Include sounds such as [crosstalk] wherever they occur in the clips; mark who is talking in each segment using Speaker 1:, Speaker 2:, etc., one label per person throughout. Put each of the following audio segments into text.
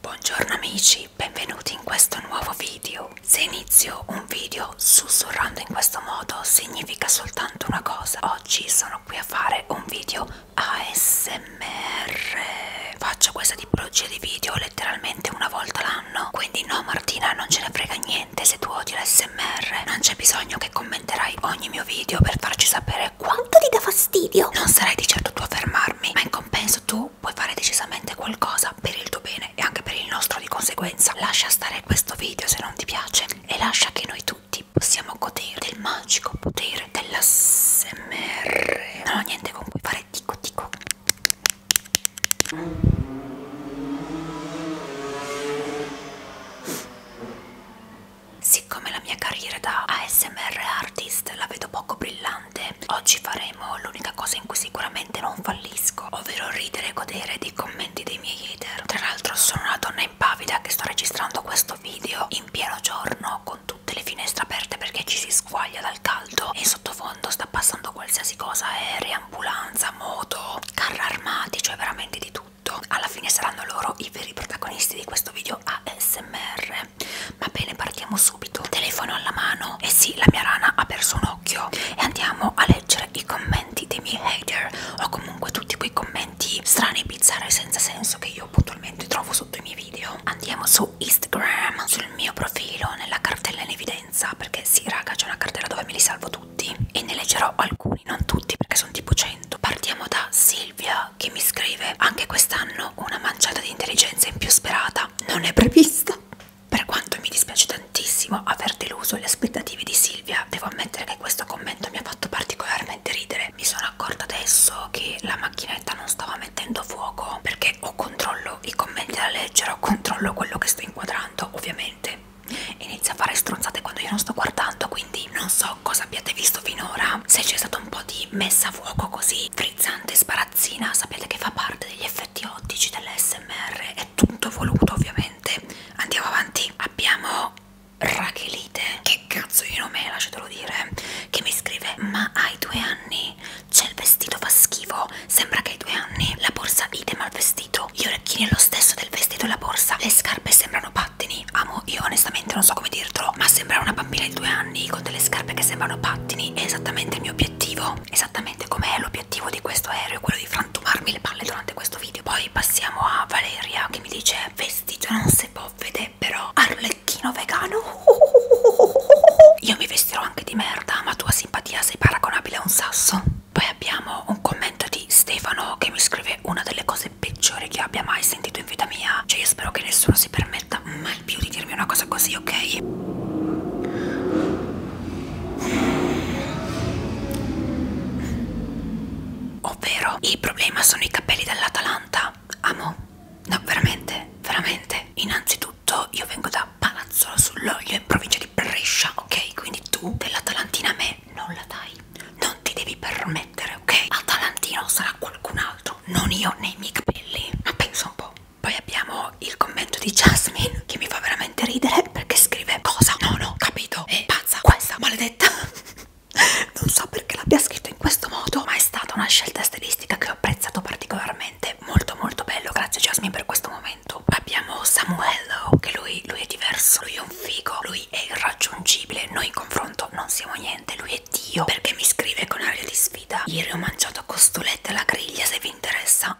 Speaker 1: Buongiorno amici, benvenuti in questo nuovo video. Se inizio un video sussurrando in questo modo significa soltanto una cosa. Oggi sono qui a fare un video ASMR. Faccio questa tipologia di video letteralmente una volta l'anno. Quindi no Martina, non ce ne frega niente se tu odi l'ASMR. Non c'è bisogno che commenterai ogni mio video per farci sapere quanto ti dà fastidio. Non sarai di certo tu a fermarmi, ma in compenso tu puoi fare decisamente qualcosa per il tuo bene e anche per il nostro di conseguenza. Lascia stare questo video se non ti piace e lascia che noi tutti possiamo godere del magico potere dell'ASMR. Non ho niente con cui fare tico tico. Siccome la mia carriera da ASMR artist la vedo poco brillante importante oggi faremo l'unica cosa in cui sicuramente non fallisco ovvero ridere e godere dei commenti dei miei hater tra l'altro sono una donna impavida che sto registrando questo video in pieno giorno con tutte le finestre aperte perché ci si squaglia dal caldo e in sottofondo sta passando qualsiasi cosa aerei, ambulanza, moto, carri armati cioè veramente di tutto alla fine saranno loro i veri protagonisti di questo video ASMR bene va bene partiamo subito telefono alla mano e eh sì la mia rana ha perso un occhio e andiamo a leggere i commenti dei miei hater o comunque tutti quei commenti strani bizzarri senza senso che io puntualmente trovo sotto i miei video andiamo su Instagram sul mio profilo nella cartella in evidenza perché sì raga c'è una cartella dove me li salvo tutti e ne leggerò alcuni non tutti perché sono tipo 100 partiamo da Silvia che mi scrive anche quest'anno una manciata di intelligenza in più sperata puntata non è prevista. Per quanto mi dispiace tantissimo aver deluso le aspettative di Silvia, devo ammettere che questo commento mi ha fatto particolarmente ridere. Mi sono accorta adesso che la macchinetta non stava mettendo fuoco perché o controllo i commenti da leggere o controllo quello che sto inquadrando, ovviamente. Inizia a fare stronzate quando io non sto guardando, quindi non so cosa abbiate visto finora. Se c'è stato un po' di messa a fuoco così frizzante sparazzina sapete che fa parte degli effetti ottici dell'SMR è tutto voluto ovviamente andiamo avanti abbiamo Rachelite che cazzo di nome è lasciatelo dire che mi scrive ma hai due anni c'è il vestito fa schifo sembra che hai due anni la borsa idem al vestito gli orecchini è lo stesso del vestito e la borsa le scarpe sembrano pattini amo io onestamente non so come dirtelo ma sembra una bambina di due anni anni con delle scarpe che sembrano pattini è esattamente il mio obiettivo esattamente com'è l'obiettivo di questo aereo quello di frantumarmi le palle durante questo video poi passiamo a Valeria che mi dice vestigia cioè non si può vedere però arlecchino vegano [laughs] io mi vestirò anche di merda ma tua simpatia sei paragonabile a un sasso poi abbiamo un commento di Stefano che mi scrive una delle cose peggiori che abbia mai sentito in vita mia cioè io spero che nessuno si permetta mai mai più di dirmi una cosa così, ok? Ovvero, il problema sono i capelli dell'Atalanta. Amo? No, veramente, veramente. Innanzitutto, io vengo da Palazzolo sull'Olio, in provincia di Brescia, ok? Quindi tu dell'Atalantina a me non la dai. Non ti devi permettere, ok? Atalantino sarà qualcun altro, non io nei miei capelli. Ma pensa un po'. Poi abbiamo il commento di Jasmine che mi fa veramente ridere perché scrive cosa? No, no, capito. È pazza questa maledetta. [laughs] non so perché l'abbia scritto in questo modo, ma è stata una scelta stilistica che ho apprezzato particolarmente. Molto molto bello, grazie Jasmine per questo momento. Abbiamo Samuello, che lui, lui è diverso, lui è un figo, lui è irraggiungibile, noi in confronto non siamo niente, lui è Dio perché mi scrive con aria di sfida sfida ieri ho mangiato costolette alla griglia se vi interessa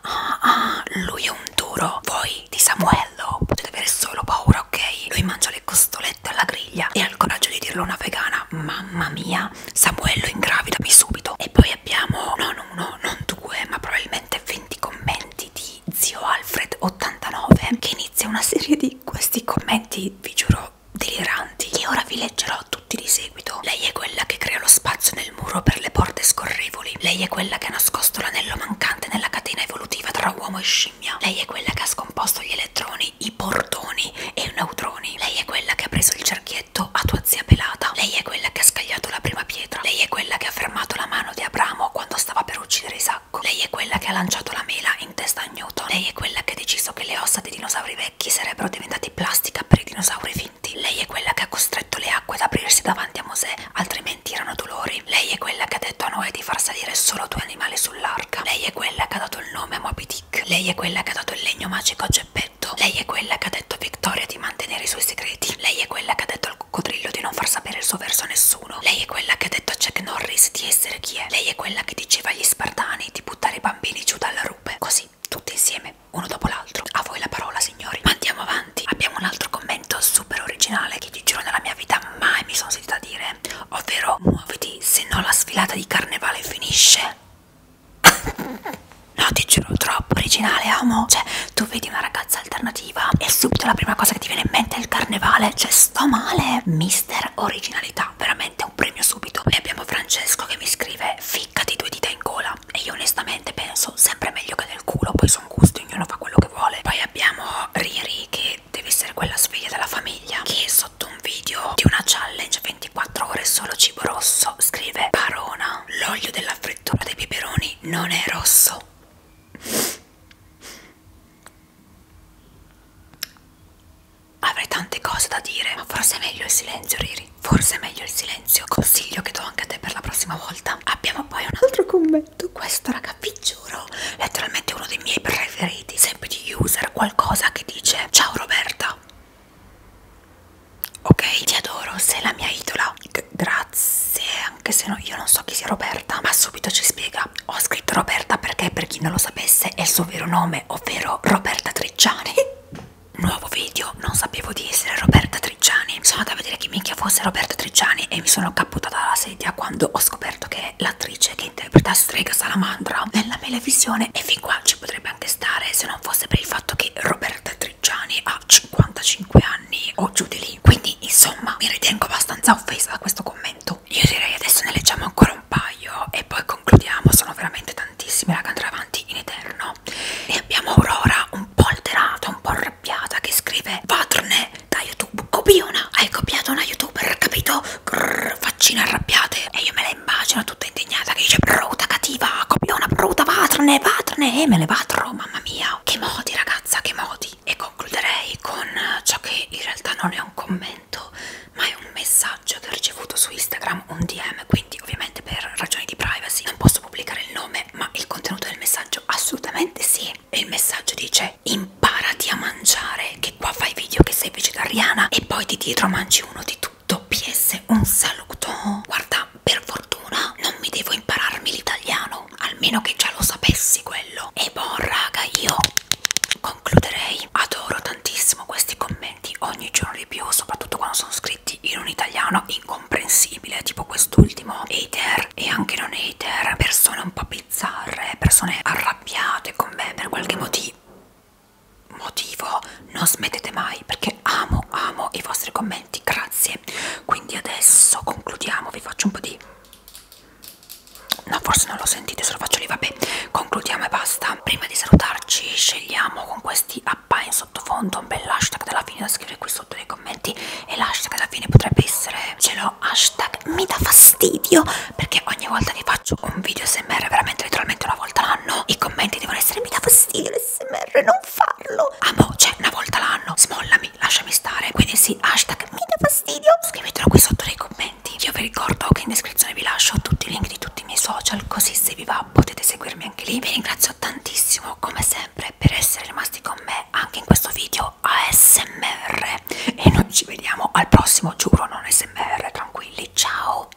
Speaker 1: ah, [laughs] ah, lui è un duro voi di Samuello potete avere solo paura ok lui mangia le costolette alla griglia e ha il coraggio di dirlo a una vegana mamma mia Samuello ingravidami subito e poi abbiamo non uno non due ma probabilmente 20 commenti di zio Alfred 89 che inizia una serie di questi commenti vi giuro deliranti che ora vi leggerò tutti di seguito. Lei è quella che crea lo spazio nel muro per le porte scorrevoli. Lei è quella che ha nascosto l'anello mancante nella catena evolutiva tra uomo e scimmia. Lei è quella che ha scomposto gli elettroni, i portoni e i neutroni. Lei è quella che ha preso il cerchietto a tua zia pelata. Lei è quella che ha scagliato la prima pietra. Lei è quella che ha fermato la mano di Abramo quando stava per uccidere Isacco. Lei è quella che ha lanciato la mela in testa a Newton. Lei è quella che ha deciso che le ossa dei dinosauri veri secchi sarebbero diventati plastica per i dinosauri finti. Lei è quella che ha costretto le acque ad aprirsi davanti a Mosè, altrimenti erano dolori. Lei è quella che ha detto a Noè di far salire solo due animali sull'arca. Lei è quella che ha dato il nome a Moby Dick. Lei è quella che ha dato il legno magico a Geppetto. Lei è quella che ha detto a Victoria di mantenere i suoi segreti. Lei è quella che ha detto al coccodrillo di non far sapere il suo verso a nessuno. Lei è quella che ha detto a Jack Norris di essere chi è. Lei è quella che diceva agli spartani di buttare i bambini giù dalla rupe. Così così, tutti insieme, uno dopo l'altro. A voi la parola, signori. Ma andiamo avanti. Abbiamo un altro commento super originale che ti giuro nella mia vita mai mi sono sentita dire, ovvero muoviti, se no la sfilata di carnevale finisce. no, ti giuro, troppo originale, amo. Cioè, tu vedi una ragazza alternativa e subito la prima cosa che ti viene in mente è il carnevale. Cioè, sto male. Mister originalità, veramente un premio subito. Poi abbiamo Francesco che mi scrive ficcati due dita in gola e io onestamente penso sempre meglio che del culo, poi sono gusti, ognuno fa quello che vuole. Poi abbiamo Riri che deve essere quella sveglia della famiglia che sotto un video di una challenge 24 ore solo cibo rosso scrive Parona, l'olio della frittura dei peperoni non è rosso. Avrei tante cose da dire, ma forse è meglio il silenzio, Riri. Forse è meglio il silenzio. Consiglio che do anche a te per la prossima volta. Abbiamo poi un altro commento. Questo, raga, vi giuro, letteralmente uno dei miei preferiti. Sempre di user, qualcosa che dice: Ciao Roberta. Ok, ti adoro, sei la mia idola. G grazie, anche se no, io non so chi sia Roberta, ma subito ci spiega. Ho scritto Roberta perché, per chi non lo sapesse, è il suo vero nome, ovvero Roberta Tricciani. [laughs] nuovo video, non sapevo di essere Roberta Tricciani. Sono andata a vedere chi minchia fosse Roberta Tricciani e mi sono caputata dalla sedia quando ho scoperto che l'attrice che interpreta Strega Salamandra nella televisione e fin qua ci potrebbe anche stare se non fosse per il fatto che Roberta Tricciani ha 55 anni o giù di lì. Quindi insomma mi ritengo abbastanza offesa da questo commento. Io direi adesso ne leggiamo ancora un paio e poi concludiamo, sono veramente tanti tantissimi raga andrà avanti in eterno e abbiamo Aurora un po' alterata un po' arrabbiata che scrive patrone da youtube copiona hai copiato una youtuber capito Grrr, faccine arrabbiate e io me la immagino tutta indignata che dice brutta cattiva copiona brutta patrone patrone e me le patro mamma mia che modi ragazza che modi e concluderei con ciò che in realtà non è un commento ma è un messaggio che ho ricevuto su Instagram, un DM, quindi ovviamente per ragioni di privacy non posso pubblicare il nome, ma il contenuto del messaggio assolutamente sì. E il messaggio dice imparati a mangiare, che qua fai video che sei vegetariana e poi di dietro mangi uno di tutto. PS, un saluto. Guarda, per fortuna non mi devo impararmi l'italiano, almeno che già lo sapessi quello. E boh raga, io concluderei. Adoro tantissimo tantissimo questi commenti ogni giorno di più, soprattutto quando sono scritti in un italiano incomprensibile, tipo quest'ultimo, hater e anche non hater, persone un po' bizzarre, persone arrabbiate con me per qualche motivo motivo non smettete mai perché amo amo i vostri commenti grazie quindi adesso concludiamo vi faccio un po' di no forse non lo sentite se lo faccio lì vabbè concludiamo e basta prima di salutarci scegliamo con questi mappa in sottofondo un bel hashtag della fine da scrivere qui sotto nei commenti e l'hashtag alla fine potrebbe essere ce l'ho hashtag mi dà fastidio perché ogni volta che faccio un video smr veramente letteralmente una volta l'anno i commenti devono essere mi dà fastidio l'smr non farlo amo ah, cioè una volta l'anno smollami lasciami stare quindi sì hashtag mi dà fastidio scrivetelo qui sotto nei commenti io vi ricordo che in descrizione vi lascio tutti i link di tutti i miei social così se vi va potete seguirmi anche lì vi ringrazio tantissimo come sempre per essere rimasti con me anche in questo video ASMR e noi ci vediamo al prossimo giuro non ASMR tranquilli ciao